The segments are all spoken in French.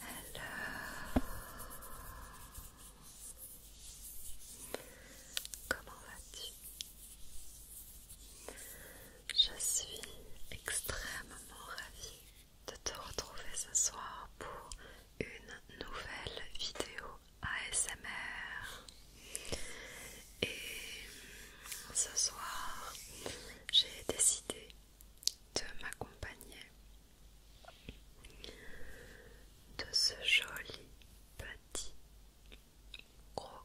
Alors, comment vas-tu Je suis extrêmement ravie de te retrouver ce soir pour une nouvelle vidéo ASMR. Et ce soir, j'ai décidé de m'accompagner de ce joli petit gros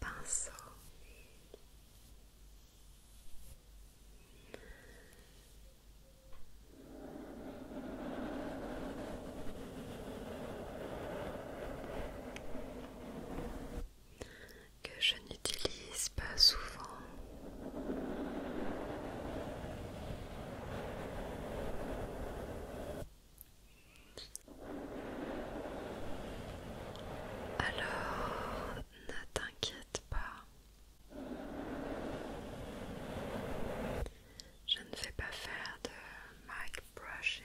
pinceau que je n'utilise pas souvent. Alors, ne t'inquiète pas. Je ne vais pas faire de mic brushing.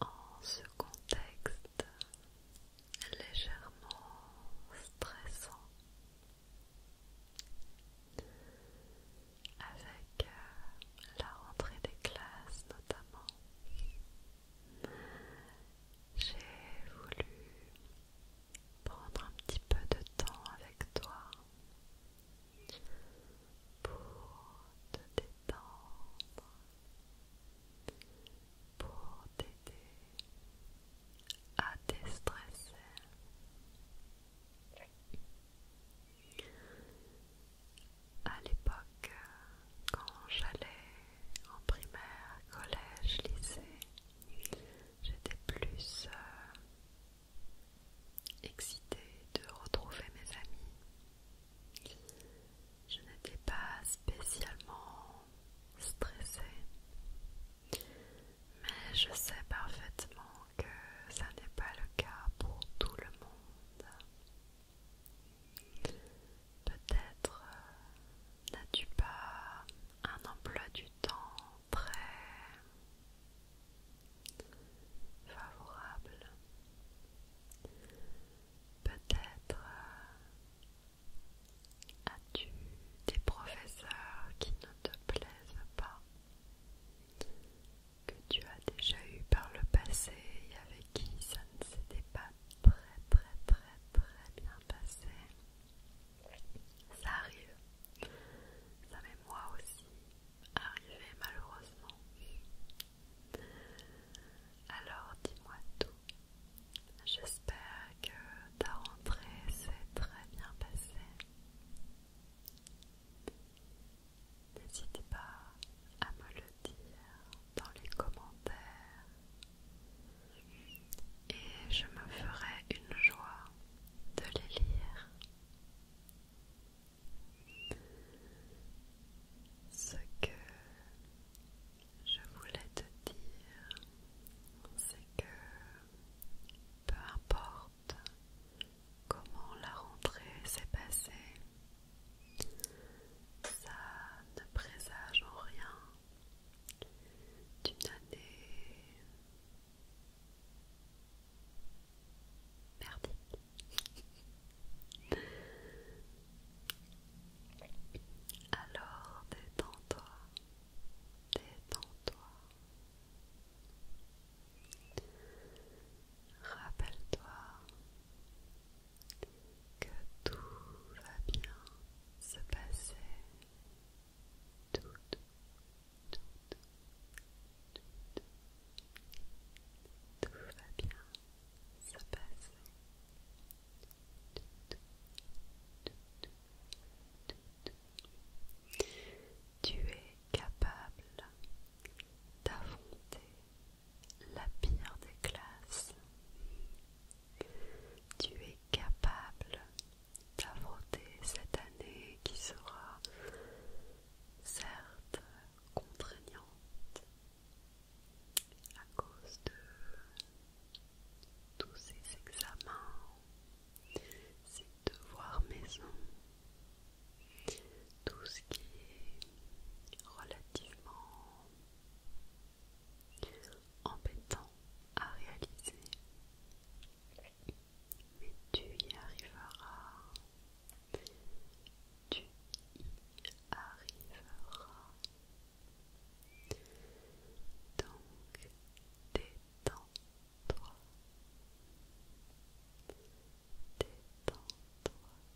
en ce contexte légèrement stressant, avec euh, la rentrée des classes notamment, j'ai voulu prendre un petit peu de temps avec toi pour te détendre, pour t'aider à déstresser. À l'époque, quand j'allais en primaire, collège, lycée, j'étais plus Excité de retrouver mes amis. Je n'étais pas spécialement stressée, mais je sais parfaitement que ça n'est pas le cas pour tout le monde. Peut-être euh, n'as-tu pas un emploi du temps prêt favorable. Peut-être euh, as-tu des professeurs qui ne te plaisent pas, que tu as déjà eu par le passé et avec qui ça ne s'était pas très très très très bien passé. Ça arrive. Ça m'est moi aussi arrivé malheureusement. Alors dis-moi tout. J'espère que ta rentrée s'est très bien passée. N'hésite pas à me le dire dans les commentaires et je me ferai une joie de les lire ce que je voulais te dire, c'est que peu importe comment la rentrée s'est passée, ça ne présage en rien d'une année Alors détends-toi, détends-toi. Rappelle-toi que tout va bien se passer tout, tout, tout, tout, tout, tout va bien ça passe. Tu es capable d'affronter la pire des classes. Tu es capable d'affronter cette année qui sera certes contraignante à cause de tous ces examens, ces devoirs maison, tout ce qui est relativement embêtant à réaliser mais tu y arriveras. Tu y arriveras. Donc, détends-toi. Détends-toi.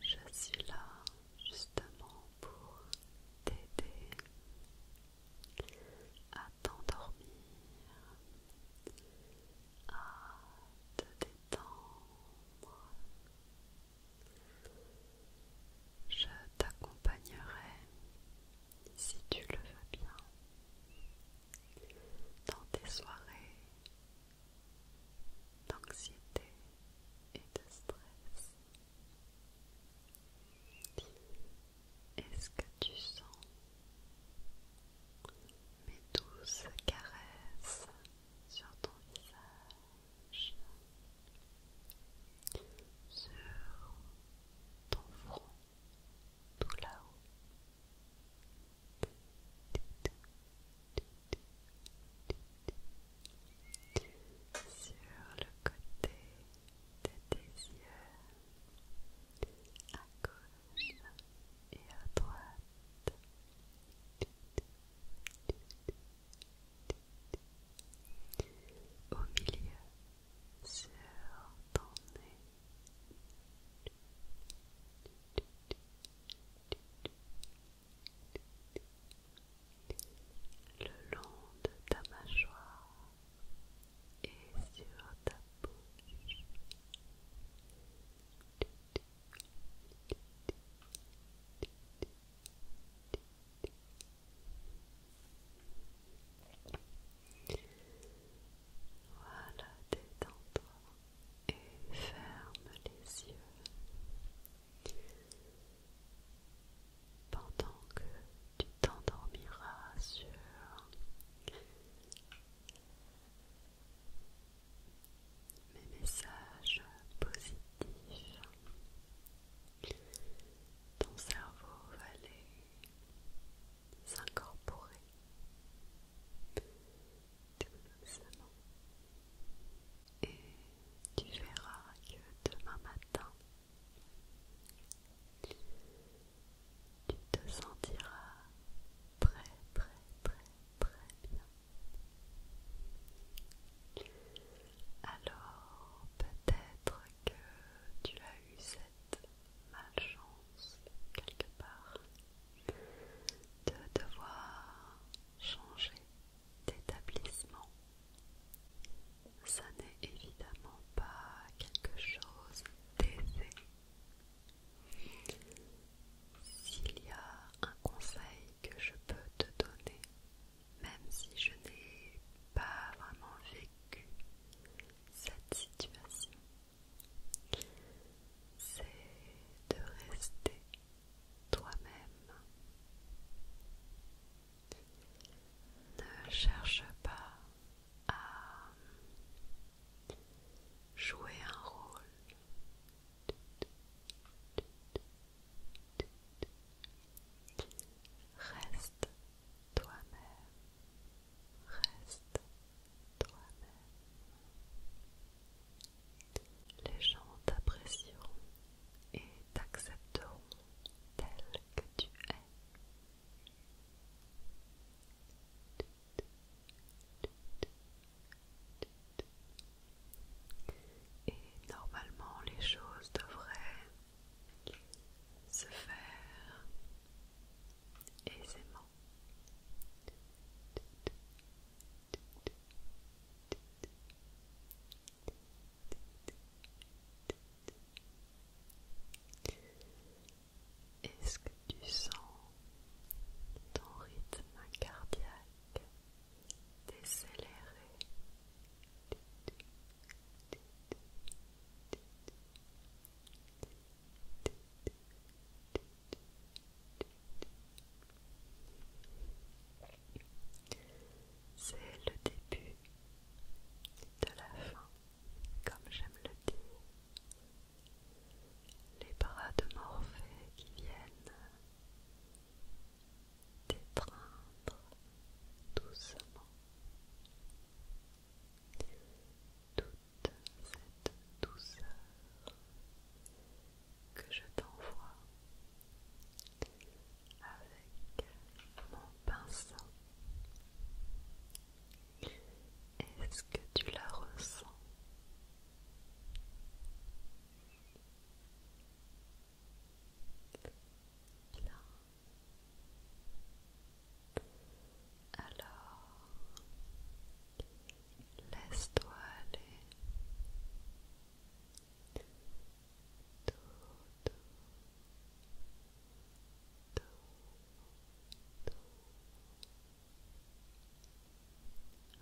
Je suis là justement pour t'aider à t'endormir, à te détendre. Je t'accompagnerai, si tu le veux bien, dans tes soirées d'anxiété et de stress. Est-ce que tu sens mes douces caresses sur ton visage, sur ton front tout là-haut sur le côté de tes yeux à gauche et à droite. Au milieu, sur ton nez le long de ta mâchoire et sur ta bouche. Voilà, détends-toi et ferme les yeux pendant que tu t'endormiras sur mes messages positifs. Ton cerveau va les s'incorporer doucement et tu verras que demain matin tu te sentiras très très très très bien. Alors peut-être que tu as eu cette malchance quelque part de devoir changer d'établissement. Ça n'est évidemment pas quelque chose d'aisé. S'il y a un conseil que je peux te donner, même si je n'ai pas vraiment vécu cette situation, c'est de rester toi-même. Ne cherche pas à jouer un rôle. Reste toi-même. Reste toi-même. Les gens t'apprécieront et t'accepteront tel que tu es. Et normalement les choses devraient se faire aisément. Est-ce que tu sens ton rythme cardiaque décéléré c'est le début de la fin, comme j'aime le dire. Les bras de Morphée qui viennent t'étreindre doucement toute cette douceur que je t'envoie avec mon pinceau. Est-ce que tu la ressens Là. Alors, laisse-toi aller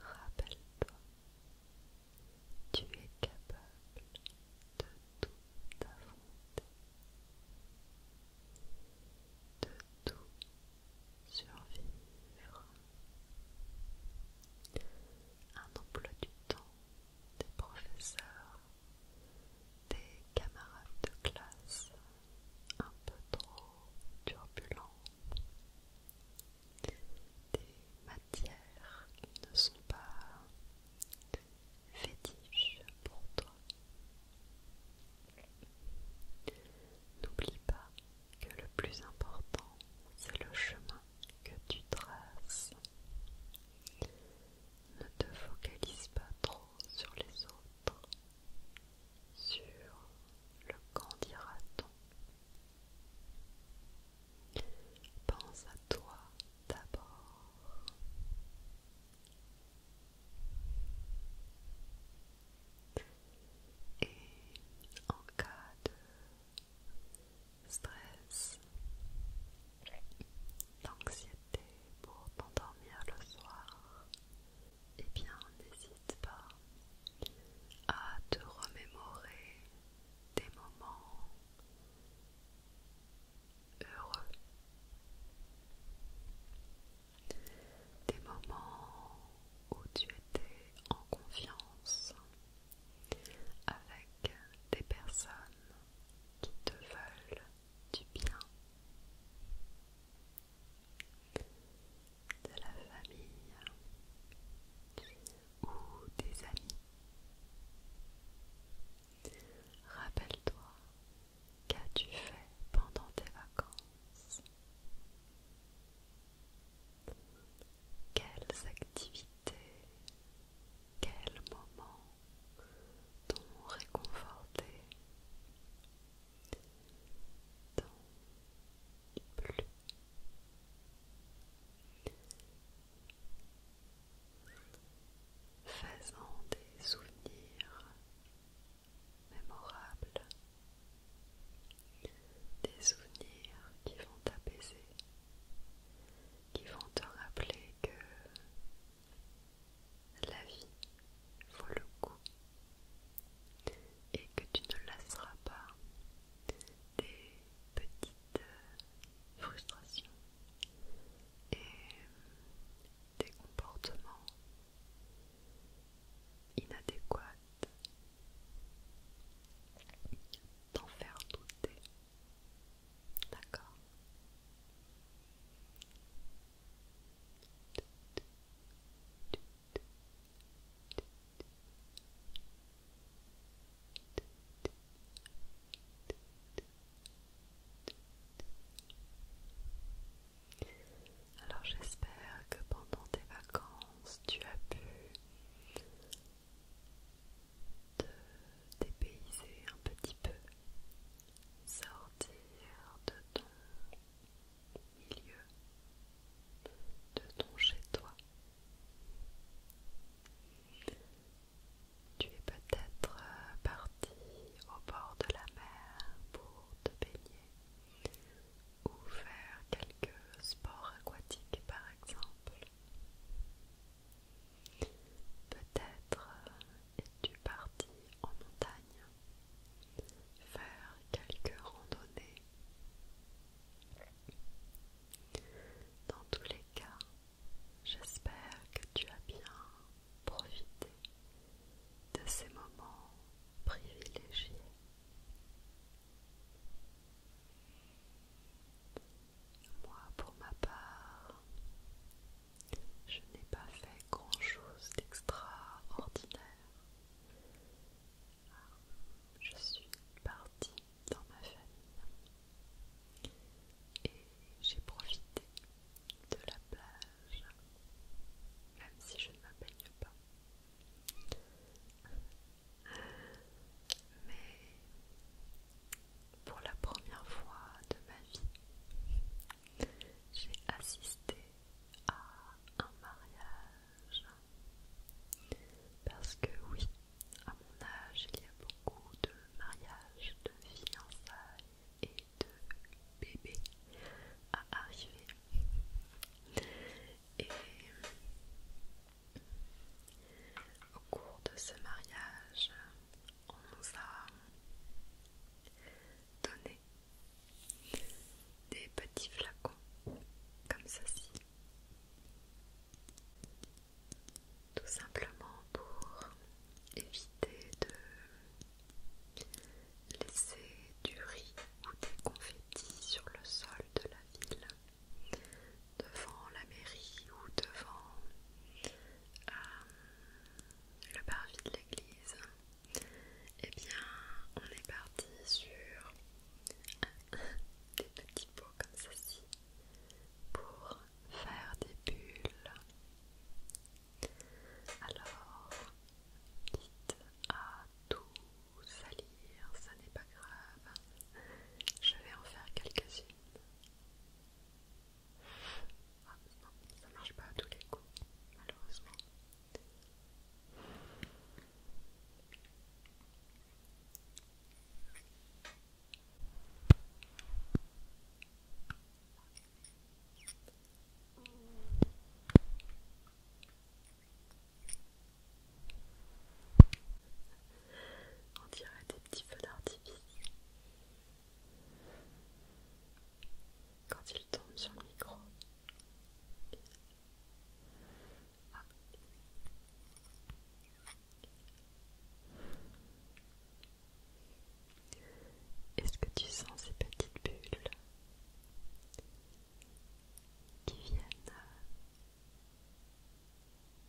Rappelle-toi, tu es capable de tout affronter, de tout survivre. Un emploi du temps des professeurs, des camarades de classe un peu trop turbulents, des matières qui ne sont pas fétiches pour toi. N'oublie pas que le plus important, c'est le chemin que tu traces. Ne te focalise pas trop sur les autres, sur le qu'en dira-t-on. Pense à toi d'abord. Et en cas de stress, d'anxiété pour t'endormir le soir, eh bien n'hésite pas à te remémorer des moments heureux, des moments où tu étais en confiance, avec des personnes qui te veulent du bien, de la famille ou des amis. Rappelle-toi qu'as-tu fait pendant tes vacances Quelles activités quel moment t'ont réconforté T'ont plus Faisant des souvenirs mémorables, des souvenirs qui vont t'apaiser, qui vont te rappeler que la vie vaut le coup et que tu ne lasseras pas des petites euh, frustrations et euh, des comportements inadéquats d'en faire douter D'accord. Alors j'espère que pendant tes vacances tu as pu de dépayser un petit peu, sortir de ton milieu, de ton chez-toi. Tu es peut-être euh, parti au bord de la mer pour te baigner ou faire quelques sports aquatiques par exemple. Peut-être euh, es-tu parti en montagne faire quelques randonnées. Dans tous les cas, j'espère que tu as bien profité de ces moments privilégiés. Moi, pour ma part, je n'ai pas fait grand-chose d'extraordinaire. Je suis partie dans ma famille et j'ai profité de la plage, même si je ne me pas. Mais pour la première fois de ma vie, j'ai assisté à un mariage. Parce que oui, à mon âge, il y a beaucoup de mariages, de fiançailles et de bébés à arriver. Et au cours de ce mariage, on nous a donné des petits flacons comme ceci. Tout simplement pour éviter de laisser du riz ou des confettis sur le sol de la ville devant la mairie ou devant euh, le parvis de l'église, et eh bien on est parti sur des petits pots comme ceci pour faire des bulles. Alors, dites à tous salut ça n'est pas grave. Je vais en faire quelques-unes. Ah, ça marche pas à tous les coups, malheureusement. On dirait des petits feux d'artifice. Quand il tombe sur le micro. Ah. Est-ce que tu sens ces petites bulles qui viennent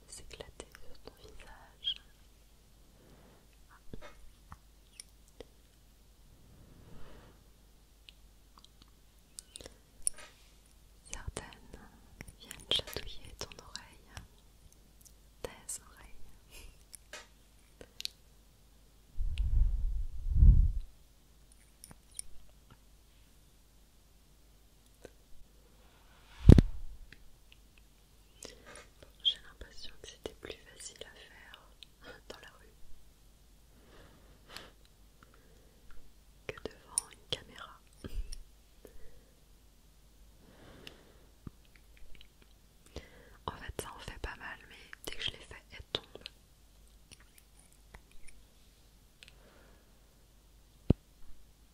s'éclater sur ton visage. Certaines viennent chatouiller ton oreille, tes oreilles. J'ai l'impression que c'était plus facile à faire dans la rue que devant une caméra. En fait, ça en fait pas mal, mais dès que je l'ai fait, elle tombe.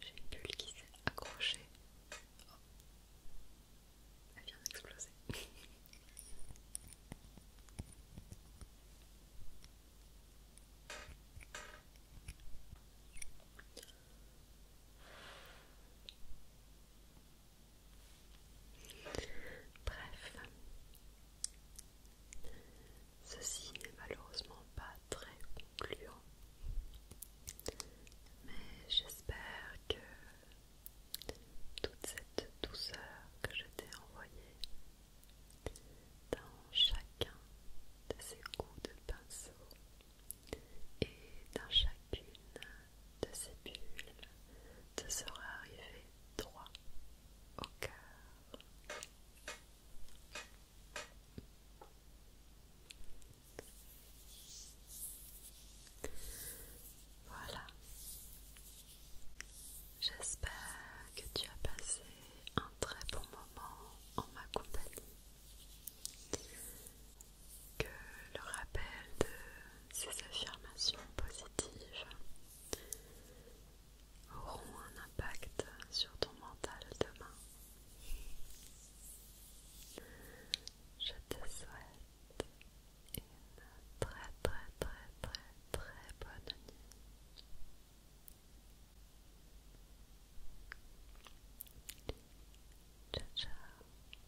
J'ai une bulle qui s'est accrochée. Oh. Elle vient d'exploser. Bref, Ceci n'est malheureusement pas très concluant, mais j'espère que toute cette douceur que je t'ai envoyée dans chacun de ces coups de pinceau et dans chacune de ces bulles te sera arrivée droit au cœur. Voilà. J'espère que tu as passé un très bon moment en ma compagnie. Que le rappel de ces affirmations positives auront un impact sur ton mental demain. Je te souhaite une très très très très très bonne nuit. Ciao ciao.